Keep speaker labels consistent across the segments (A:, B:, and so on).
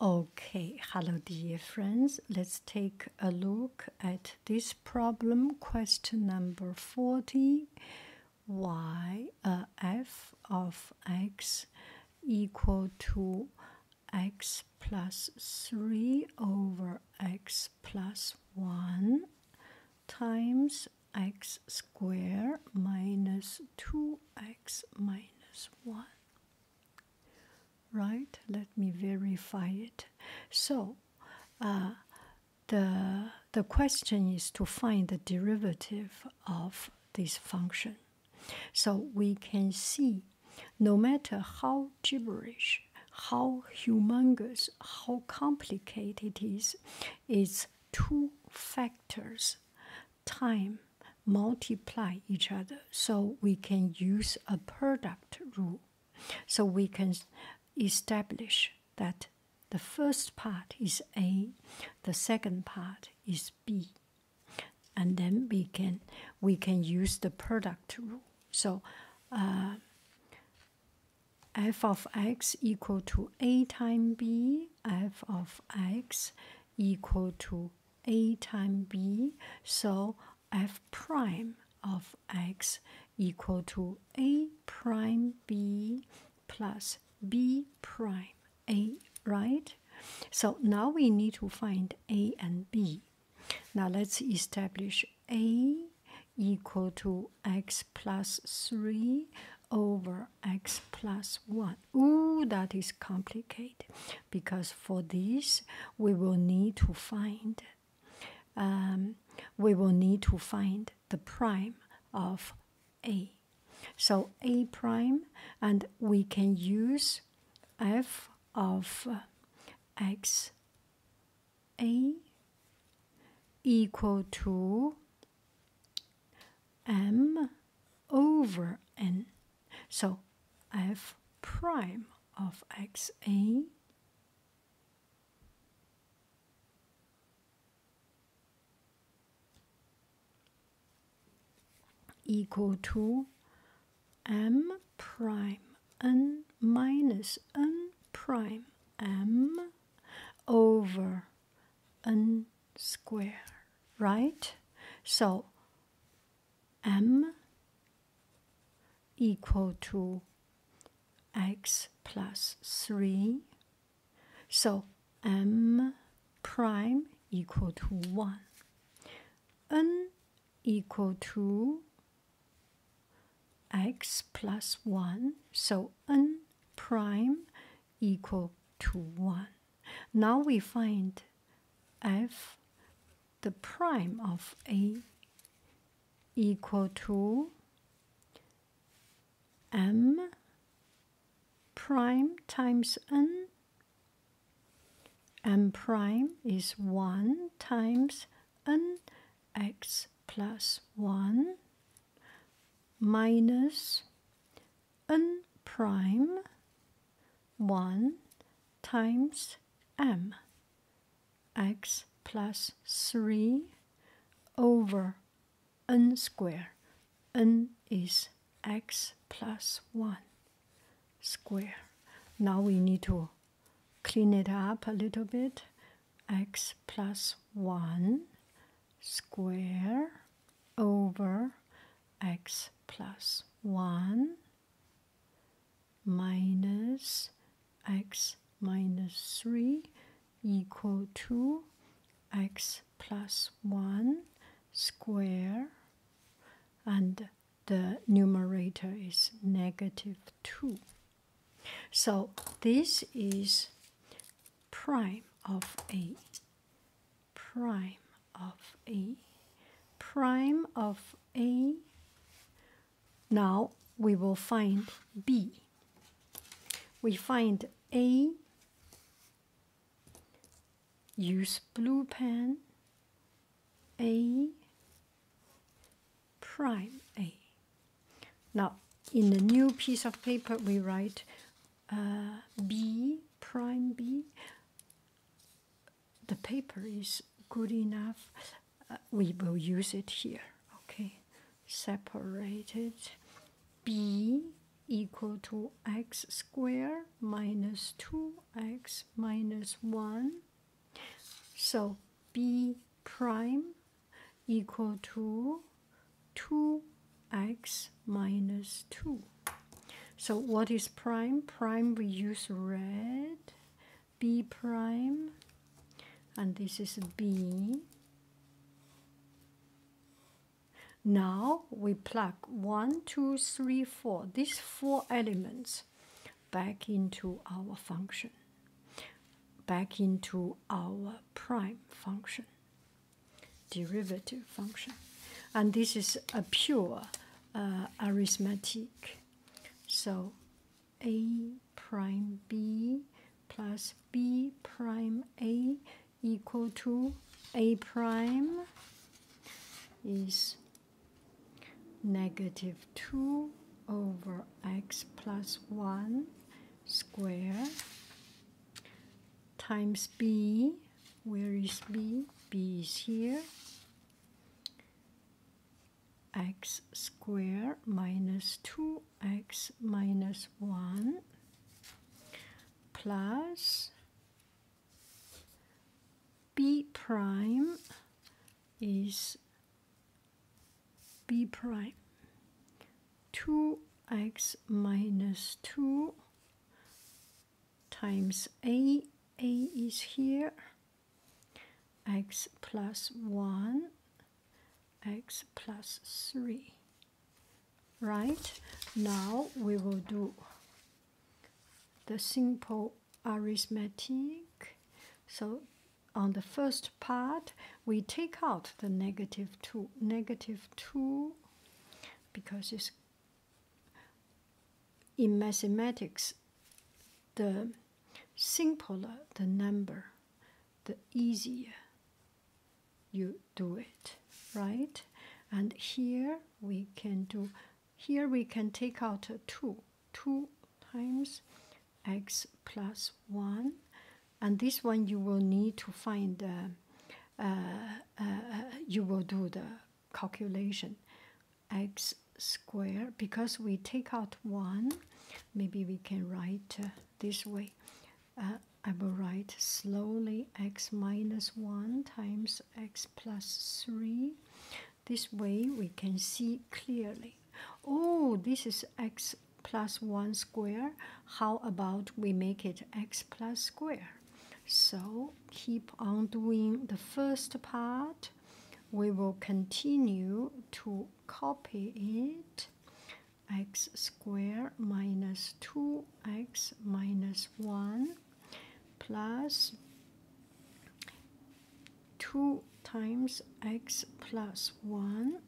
A: Okay, hello dear friends. Let's take a look at this problem, question number 40. y uh, f of x equal to x plus 3 over x plus 1 times x squared minus 2x minus 1. Right? Let me verify it. So, uh, the the question is to find the derivative of this function. So we can see, no matter how gibberish, how humongous, how complicated it is, it's two factors, time multiply each other so we can use a product rule. So we can establish that the first part is A, the second part is B. And then we can we can use the product rule. So uh, f of x equal to a times b, f of x equal to a times b, so f prime of x equal to a prime b plus b prime a, right? So now we need to find a and b. Now let's establish a equal to x plus 3 over plus 1. Ooh, that is complicated because for this we will need to find um, we will need to find the prime of a. So a prime and we can use f of uh, x a equal to m over n. So f prime of x a equal to m prime n minus n prime m over n square, right? So m equal to x plus 3. So m prime equal to 1. n equal to x plus 1. So n prime equal to 1. Now we find f the prime of a equal to m prime times n m prime is 1 times n x plus 1 minus n prime 1 times m x plus 3 over n square n is x plus 1 square now we need to clean it up a little bit x plus 1 square over x plus 1 minus x minus 3 equal to x plus 1 square and the numerator is negative 2. So this is prime of A prime of a prime of a now we will find b we find a use blue pen a prime a now in the new piece of paper we write uh, b prime B. The paper is good enough. Uh, we will use it here. Okay, separated. B equal to x squared minus 2x minus 1. So b prime equal to 2x minus 2. So what is prime? Prime we use red, b prime, and this is b. Now we plug one, two, three, four. these four elements back into our function, back into our prime function derivative function. And this is a pure uh, arithmetic. So a prime b plus b prime a equal to a prime is negative 2 over x plus 1 square times b. Where is b? b is here. x square minus 2x minus 1 plus b prime is b prime 2x minus 2 times a a is here x plus 1 x plus 3 right now we will do the simple arithmetic so on the first part, we take out the negative 2, negative 2 because it's in mathematics, the simpler the number, the easier you do it, right? And here we can do, here we can take out a 2. 2 times x plus 1 and this one you will need to find uh, uh, uh, you will do the calculation x square because we take out 1 maybe we can write uh, this way I will write slowly x minus 1 times x plus 3 this way we can see clearly Oh, this is x plus 1 square. How about we make it x plus square? So keep on doing the first part. We will continue to copy it x square minus 2x minus 1 plus 2 times x plus 1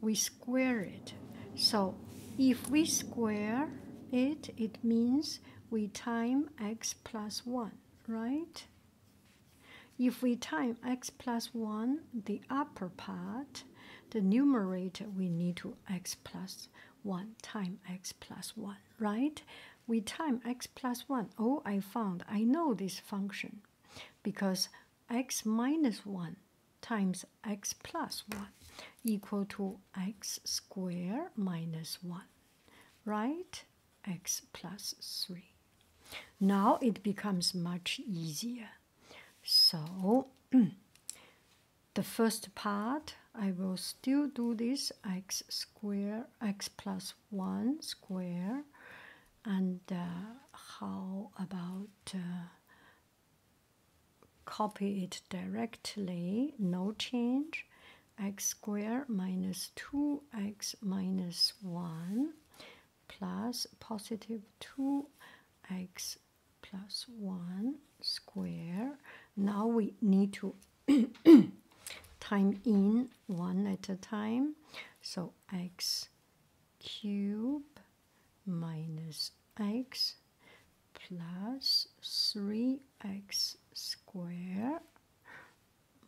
A: we square it. So if we square it, it means we time x plus 1, right? If we time x plus 1, the upper part, the numerator, we need to x plus 1 time x plus 1, right? We time x plus 1. Oh, I found, I know this function because x minus 1 times x plus 1 equal to x square minus minus 1, right? x plus 3. Now it becomes much easier. So the first part, I will still do this x square, x plus 1 square and uh, how about uh, copy it directly no change x square minus 2x minus 1 plus positive 2x plus 1 square now we need to time in one at a time so x cube minus x plus 3x squared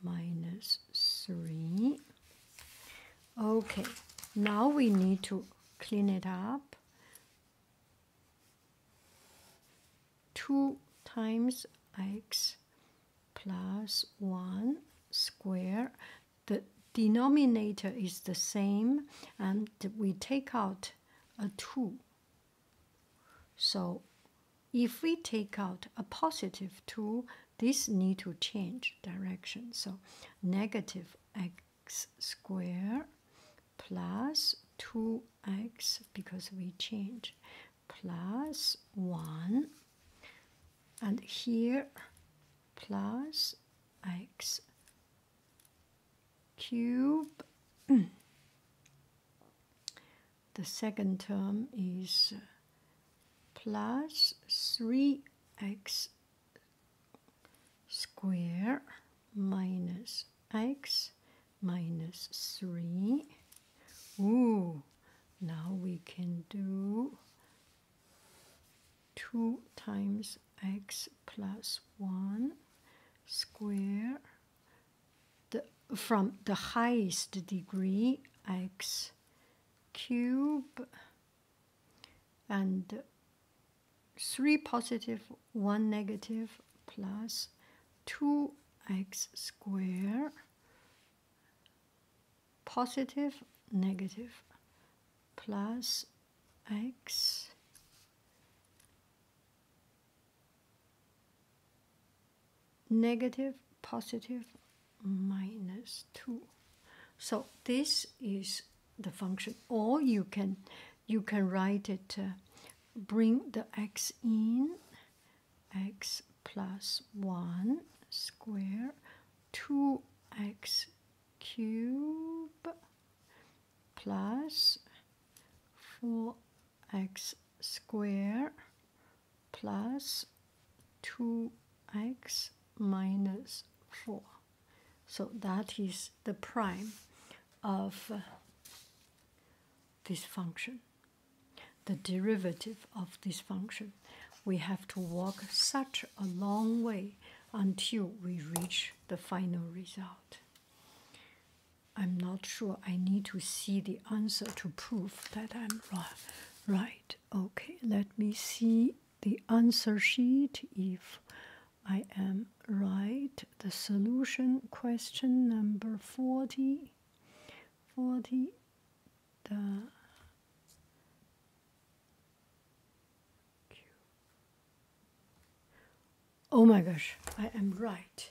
A: 3. Okay, now we need to clean it up. 2 times x plus 1 square. The denominator is the same, and we take out a 2. So if we take out a positive 2, this need to change direction. So negative x square plus 2x because we change plus 1 and here plus x cube the second term is plus 3x square minus x minus 3 Ooh, now we can do 2 times x plus 1 square the, from the highest degree x cube and 3 positive 1 negative plus 2x square positive, negative, plus x negative, positive, minus 2. So this is the function. Or you can you can write it uh, bring the x in, x plus 1 square 2x cube plus 4x square plus 2x minus 4. So that is the prime of this function, the derivative of this function. We have to walk such a long way until we reach the final result. I'm not sure I need to see the answer to prove that I'm right. Okay, let me see the answer sheet if I am right. The solution question number 40. 40 the Oh my gosh, I am right.